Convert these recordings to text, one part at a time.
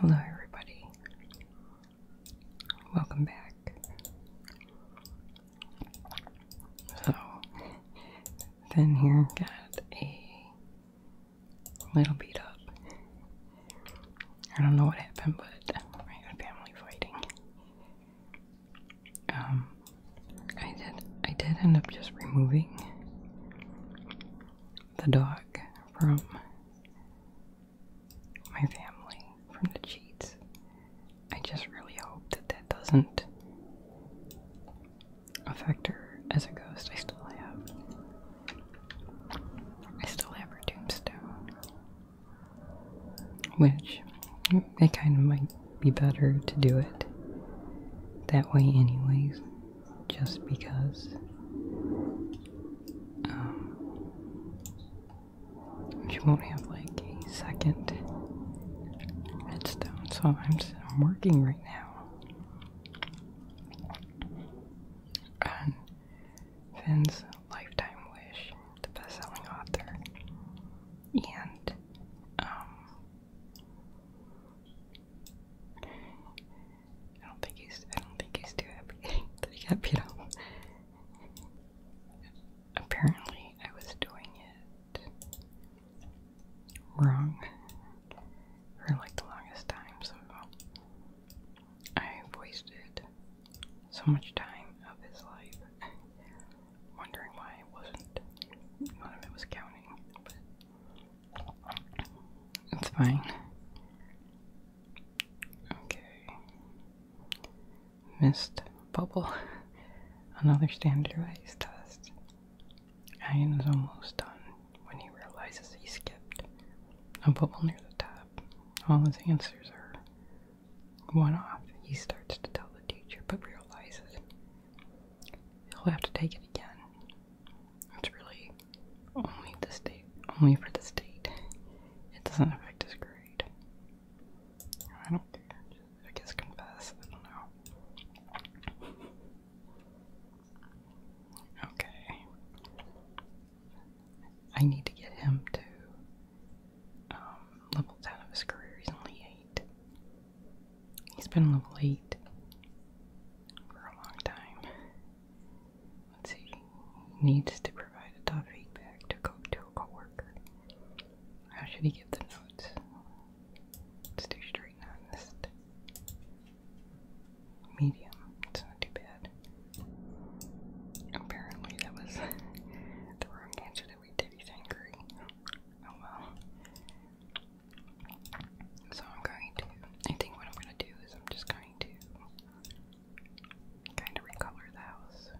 Hello, everybody. Welcome back. So, then here got a little beat up. I don't know what happened, but I family fighting. Um, I did. I did end up just removing the dog from my family, from the cheats. I just really hope that that doesn't affect her as a ghost. I still have, I still have her tombstone, which it kind of might be better to do it that way, anyways just because um, she won't have like a second redstone, so I'm, I'm working right now Finn's Lifetime Wish, the best-selling author, and um, I don't think he's. I don't think he's too happy that he got Apparently, I was doing it wrong for like the longest time, so i wasted so much time of his life wondering why I wasn't. None of it was counting, it's fine. Okay. Missed bubble. Another standardized test. Ian is almost done when he realizes he skipped a bubble near the top. All his answers are one off. He starts to tell the teacher but realizes he'll have to take it again. It's really only the state, only for the state. It doesn't affect his grade. I don't I guess confess. I don't know. Okay. I need to get him to um, level 10 of his career. He's only 8. He's been level for a long time. Let's see. needs to provide feedback to, co to a co How should he give the notes? Let's do straight honest. Medium. It's not too bad. Apparently that was the wrong answer that we did. angry. Oh well. So I'm going to, I think what I'm going to do is I'm just going to kind of recolor the house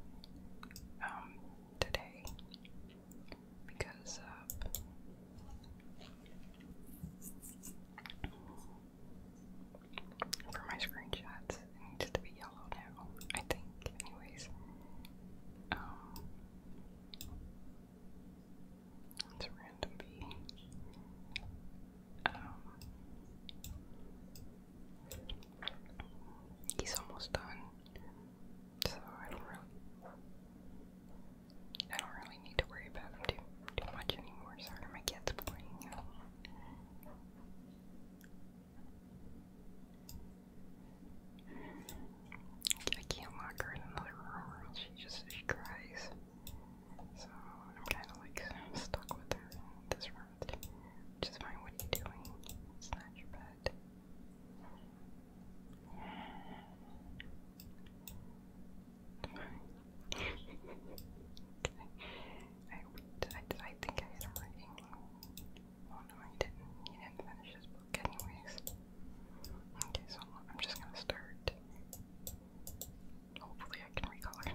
um, today because for my screenshots it needs to be yellow now, I think, anyways. Um, it's random um, he's almost done, so I don't really, I don't really need to worry about him too too much anymore. Sorry, my cat's playing. Um, I can't lock her in another room. She just she cries. So I'm kind of like stuck with her in this room. Which is fine. What are doing? It's your bed. okay. I, I, I think I had him reading. no, he didn't. He didn't finish his book, anyways. Okay, so I'm just gonna start. Hopefully, I can recolor,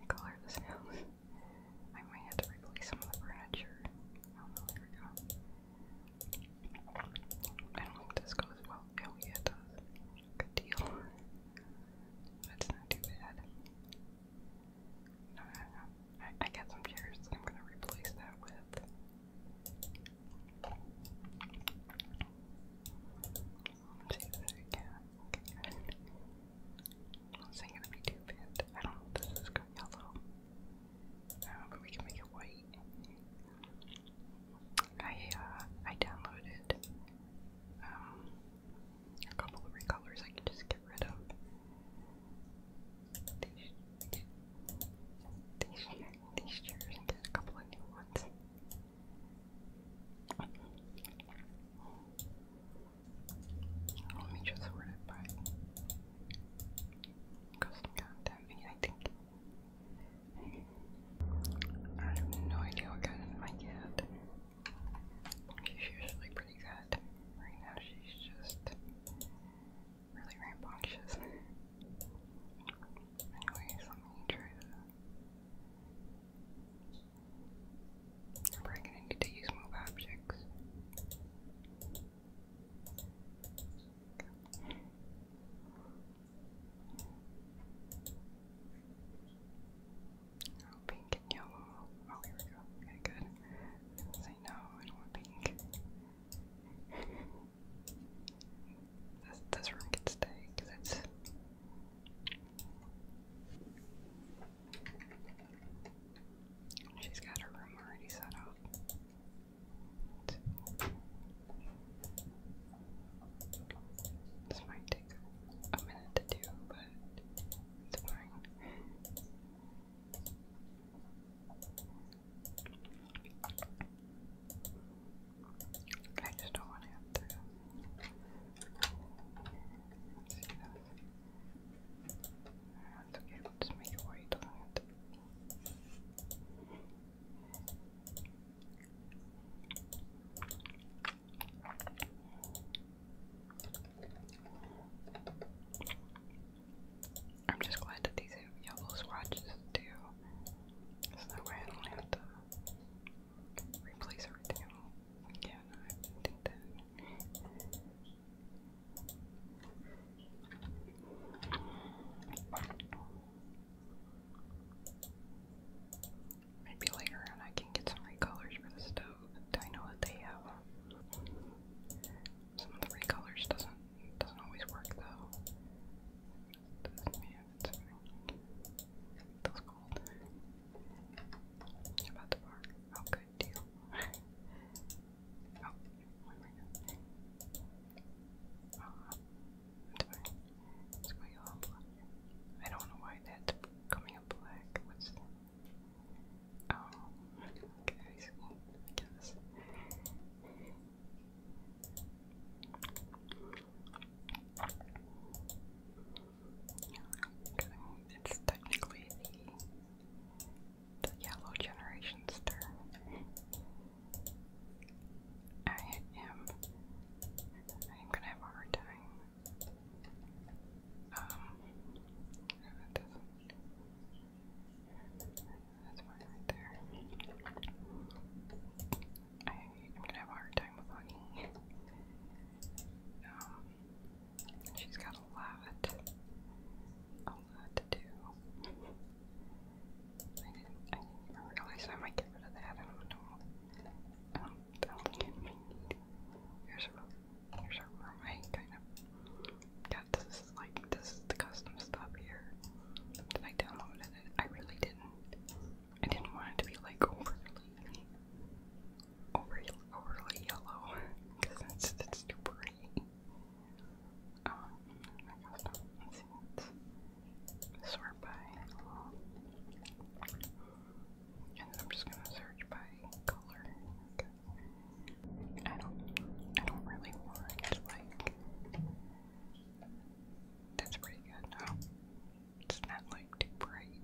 recolor this house. I might have to replace some of the furniture. there we go. I do this goes well. Oh yeah, it does. Good deal. That's not too bad. No, I, got some chairs I'm gonna replace that with. Let's see if I can. I'm not saying it would be too bad. I don't know if this is going yellow. No, but we can make it white. I uh, I downloaded um a couple of recolors I could just get rid of these, these chairs and a couple of new ones. Let me just sort it by custom content. I think I have no idea what kind of my cat. She's usually pretty good. Right now she's just really rambunctious. Anyways, let me try to. I'm probably gonna need to use move objects. Okay. Oh, pink and yellow. Oh, here we go. Okay, good. I was gonna say no, I don't want pink. This, this room can stay because it's. She's got her room already set up. This might take a minute to do, but it's fine. I just don't want to That's okay, we'll just make it white on it. I'm just glad that these have yellow swatches too. So that way I don't have to replace everything. Yeah, I think that. Maybe later on I can get some recolors for the stove. I know that they have. Um, some of the recolors doesn't it doesn't always work though. Doesn't mean it's feels cold. About the bark. Oh good deal. oh, I don't know why that's coming up black. What's Oh, okay, I guess. It's technically the, the yellow generation's I am. I'm gonna have a hard time. Um, that's one right there. I, am gonna have a hard time with hugging. Um, she's got a lot, a lot to do. I didn't, even realize I might get rid of that. Um, here's a, here's a room I kind of yeah, this is like this the custom stop here. Did I download it? I really didn't. I didn't want it to be like overly, overly, overly yellow because it's it's too pretty. Um, I guess see. sort by. And I'm just gonna search by color. I don't I don't really want like that's pretty good It's not like too bright.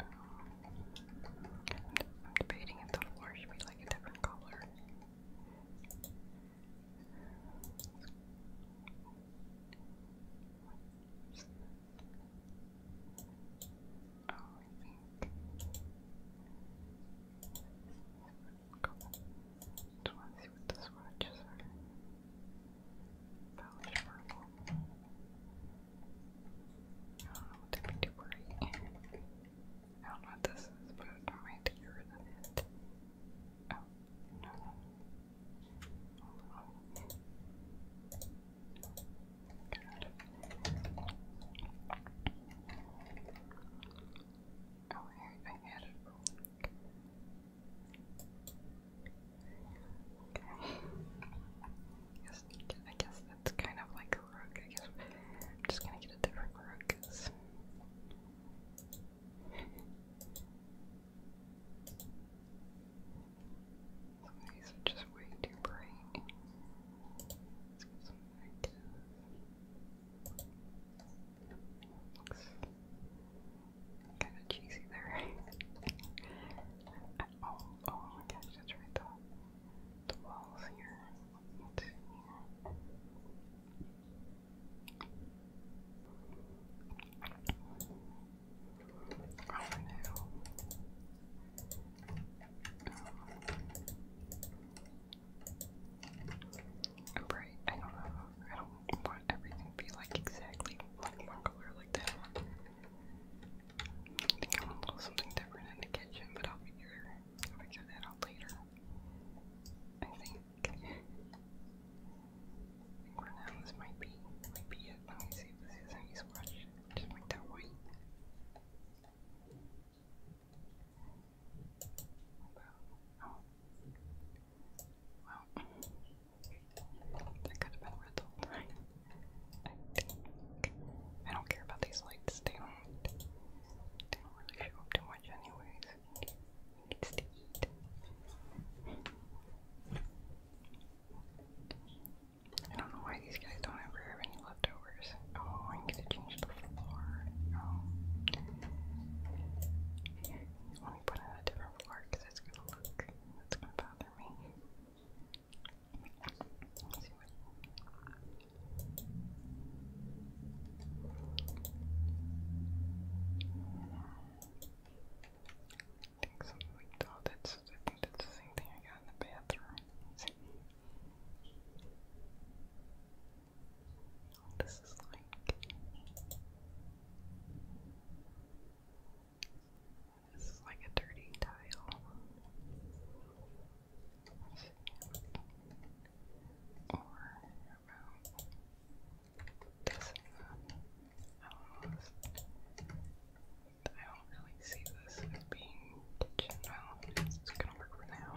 I'm um, debating if the floor should be like a different color. Oh, I think. Cool. Just want to see what the swatches are. I don't know what they be worried. I don't know what this is, but I might get rid of it. Oh, Oh, I, guess, that's kind of like a rook. I guess I'm just gonna get a different rook these are just way too bright. let kind of cheesy there. Oh, oh, oh my gosh, that's right. The, the walls here. here. Oh no. Bright, I don't know. I don't want everything to be like exactly like one color like something different in the kitchen, but I'll figure, I'll figure that out later. I think. I think for now this might be might be it. Let me see if this is any selection. Just make that white. Well, that could have been red I don't care about these lights. They don't. show up too much, anyways. I don't know why these guys don't ever have any leftovers. Oh, I'm gonna change the floor. Oh. Let me put in a different floor because it's gonna look, it's gonna bother me. Let's see what. I think something like that. Oh, that's, I think that's the same thing I got in the bathroom. Oh, this is like. This is like a dirty tile. Or about this and that. I don't know. This. I don't really see this as being kitchen. Well, it's just gonna work for now.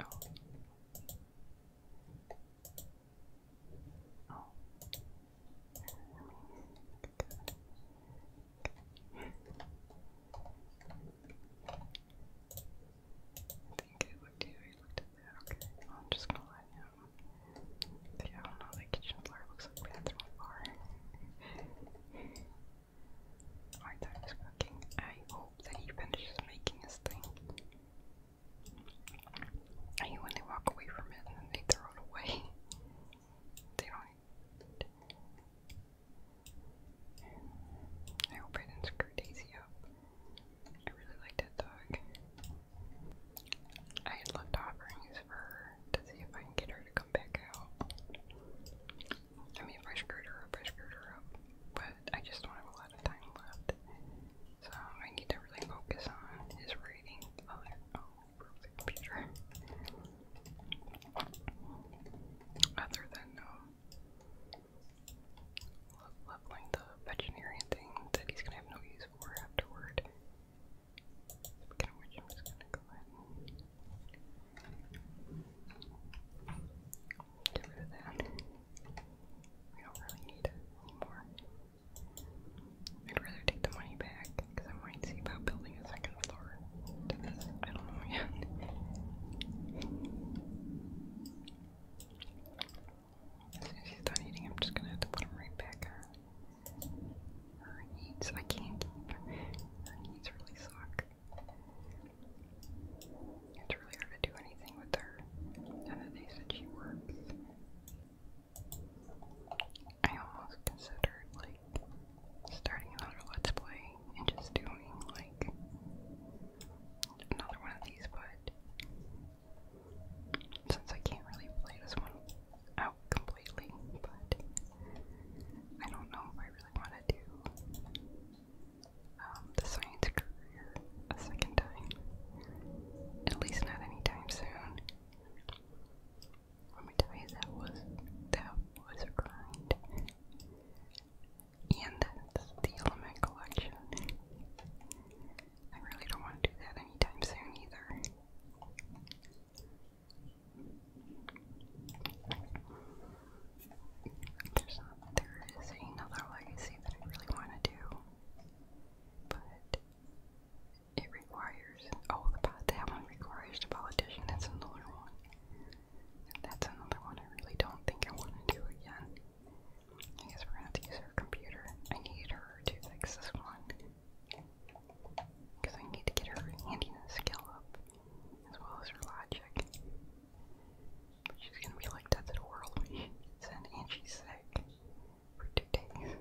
Oh. Oh. I think it looked, yeah, it looked at that. Okay, well, I'm just gonna let him yeah, I don't know, the kitchen floor looks like bathroom floor. My dad is cooking. I hope that he finishes making his thing. I hate when they walk away from it and they throw it away. They don't. I hope I didn't screw Daisy up. I really like that dog. I had left offerings for her to see if I can get her to come back out. I mean, if I her up, I screwed her up. But I just do a lot of time left. So I need to really focus on his reading. Oh, oh, Other than um, leveling the vegetarian thing that he's gonna have no use for afterward. I'm just gonna go ahead and get rid that. We don't really need it anymore. I'd rather take the money back because I might see about building a second floor to this. I don't know yet. As soon as he's done eating, I'm just gonna have to put him right back her needs I can't Her needs really suck. It's really hard to do anything with her. None of these that she works. I almost considered like starting another let's play and just doing like another one of these, but since I can't really play this one out completely, but I don't know if I really want to do um, the science career a second time. At least not anytime soon. Let me tell you, that was that was a grind. And that's the element collection. I really don't want to do that anytime soon either. There's another legacy that I really want to do, but it requires, oh, the, that one requires the politician, that's another one. That's another one I really don't think I want to do again. I guess we're gonna have to use her computer. I need her to fix this one. Because I need to get her handiness skill up, as well as her logic. she's gonna be like, that's a whirlwind. Send and she's sick for two days.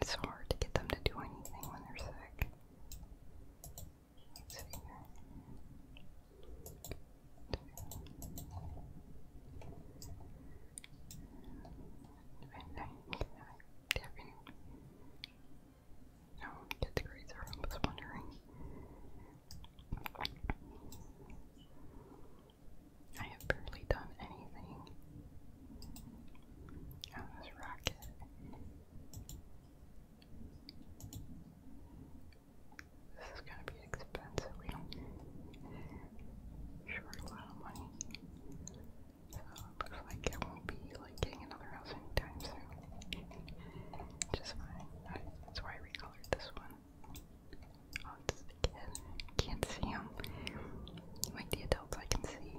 It's hard to get them to do anything when they're sick. 29, Devin. No, that's great, was wondering. I have barely done anything on this rocket. This is gonna be expensive. We don't short a lot of money. So it looks like it won't be like getting another house anytime soon. Just fine. I, that's why I recolored this one. Oh, it's the kid. Can't see him. Like the adults, I can see.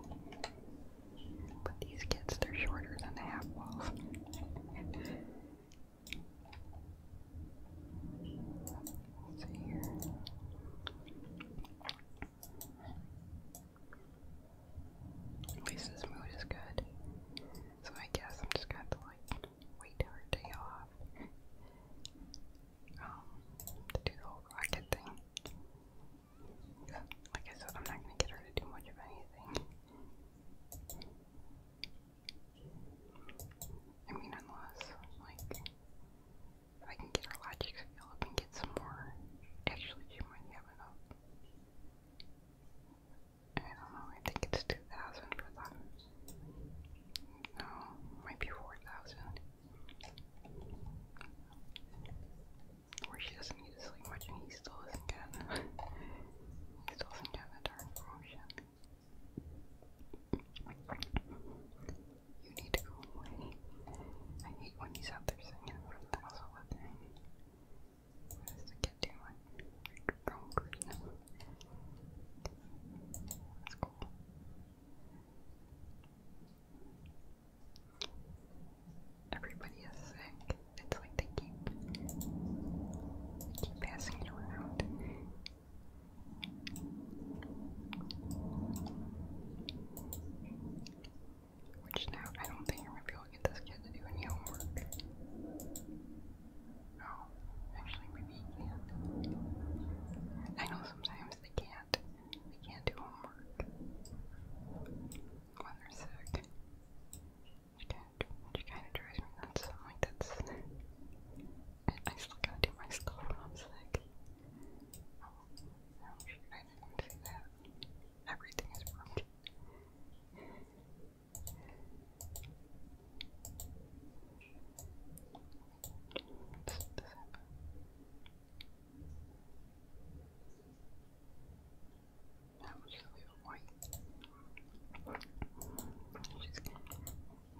But these kids, they're shorter than the half walls. let mood is good. So I guess I'm just gonna like wait her day off. Um, to do the rocket thing. Like I said, I'm not gonna get her to do much of anything. I mean, unless, like, if I can get our logic up and get some more. Actually, she might I don't know, I think it's 2,000 for that. No, might be 4,000. Or she doesn't need to sleep much and he still isn't getting he still isn't getting a darn promotion. You need to go away. I hate when he's out there singing in front of the house all the Don't clean him. That's cool. Everybody is sick. It's like they keep, keep passing it around. Which now I don't think I'm gonna this kid to homework. Oh, actually maybe he can. I know sometimes they can't. They can't do homework. When they're sick. Which kind of drives me nuts. like, that's I, still gotta do my skull I'm sick. Oh, no, I didn't see that. Everything is broken. that was really white.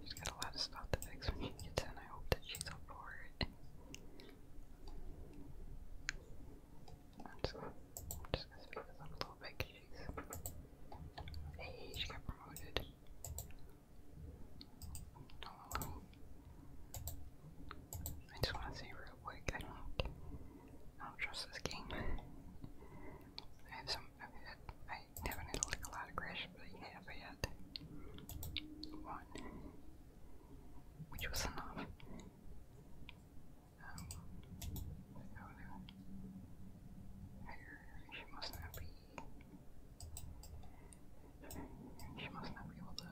She's got a lot of stuff to fix when she gets in. I hope that she's up for it. I'm just gonna, I'm a little bit she's. Hey, she got promoted. I just want to say real quick, I don't, I don't trust this game. I have I've not had like a lot of crashes, but I have had one, which was enough. Um, oh no, she must not be, she must not be able to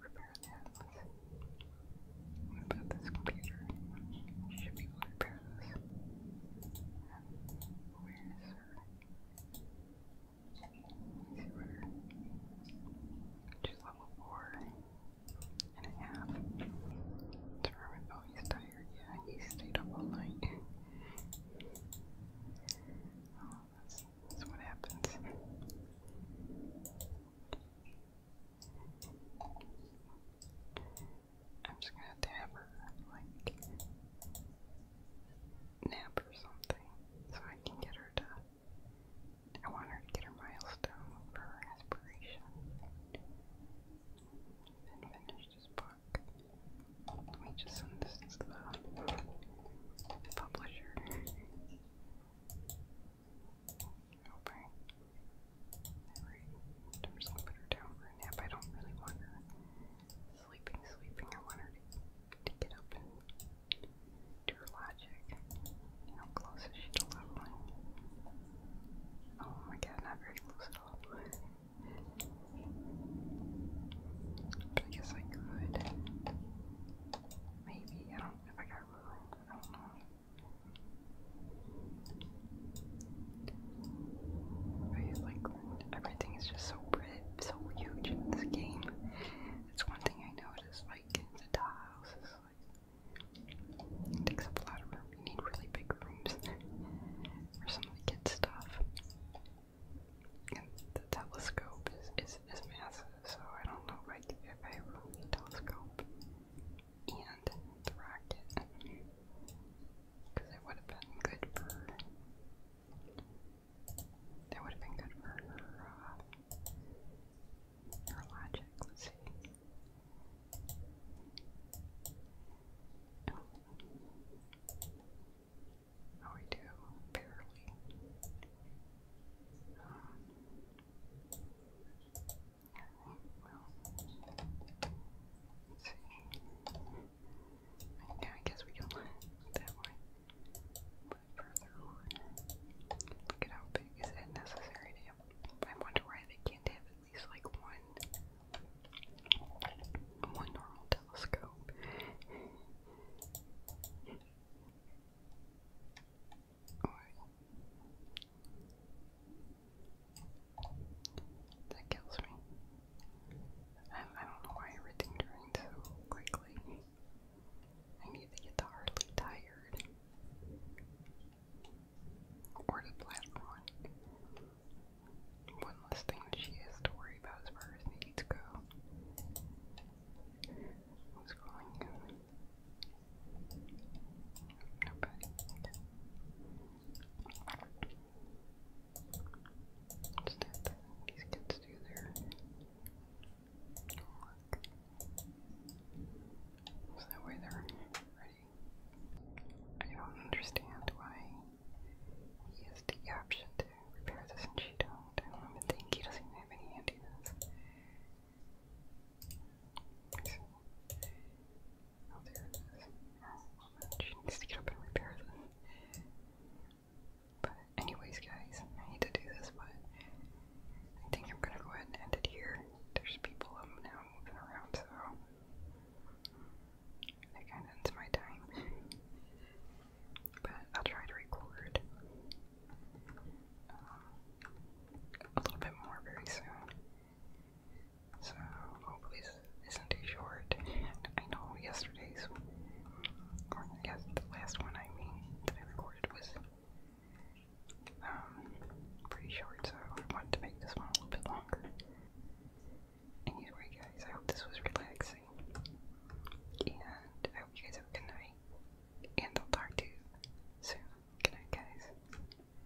repair that. What this computer? should be able Wizard. She's level four and a half. Determined, oh, he's tired. Yeah, he stayed up all night. Oh, that's, that's what happens. I'm just gonna dab her, like, nap or something, so I can get her to. I want her to get her milestone for her aspiration. And finish this book. Let me just send this to the publisher. Okay. Alright. I'm just gonna put her down nap. I don't really want to sleeping, sleeping. I want her to, get up and do her logic. You close as she to loved Oh my god, not very close at all. I guess I could. Maybe, I don't if I got room. I don't know. Like everything is just so pretty, so huge in this game. It's one thing I noticed. Like the tiles is like takes up a lot of room. You need really big rooms for some of the kids' stuff. And the telescope is, is massive, so I don't know like if I really telescope and the rocket. Because it would have been good for. It would have been good for her, uh, her logic. Let's see. Oh. oh, we do, barely. Um, Let's see. Yeah, I guess we do that way. But further on. Look at is it necessary to have I wonder why they can't have at least like one one normal telescope. That kills me. I, don't know why everything drains so quickly. I need to get the hardly tired. Or the platform one. One less thing she has to worry about as far as needs go. What's going on? Nobody. What's These kids do their homework. So that way they're ready. I don't understand why he has the option to repair this and she don't. I don't even think he doesn't have any handiness. Oh, there it is. She needs to get up and repair this. But anyways, guys, I hate to do this, but I think I'm gonna go ahead and end it here. There's people um, now moving around, so that kind of ends my time. but I'll try to record a little bit more very soon. So hopefully this isn't too short. And I know yesterday's, or yes, the last one I recorded was um, pretty short, so I wanted to make this one a little bit longer. Anyway, guys, I hope this was relaxing, and I hope you guys have a good night. And I'll talk to you soon. Good night, guys.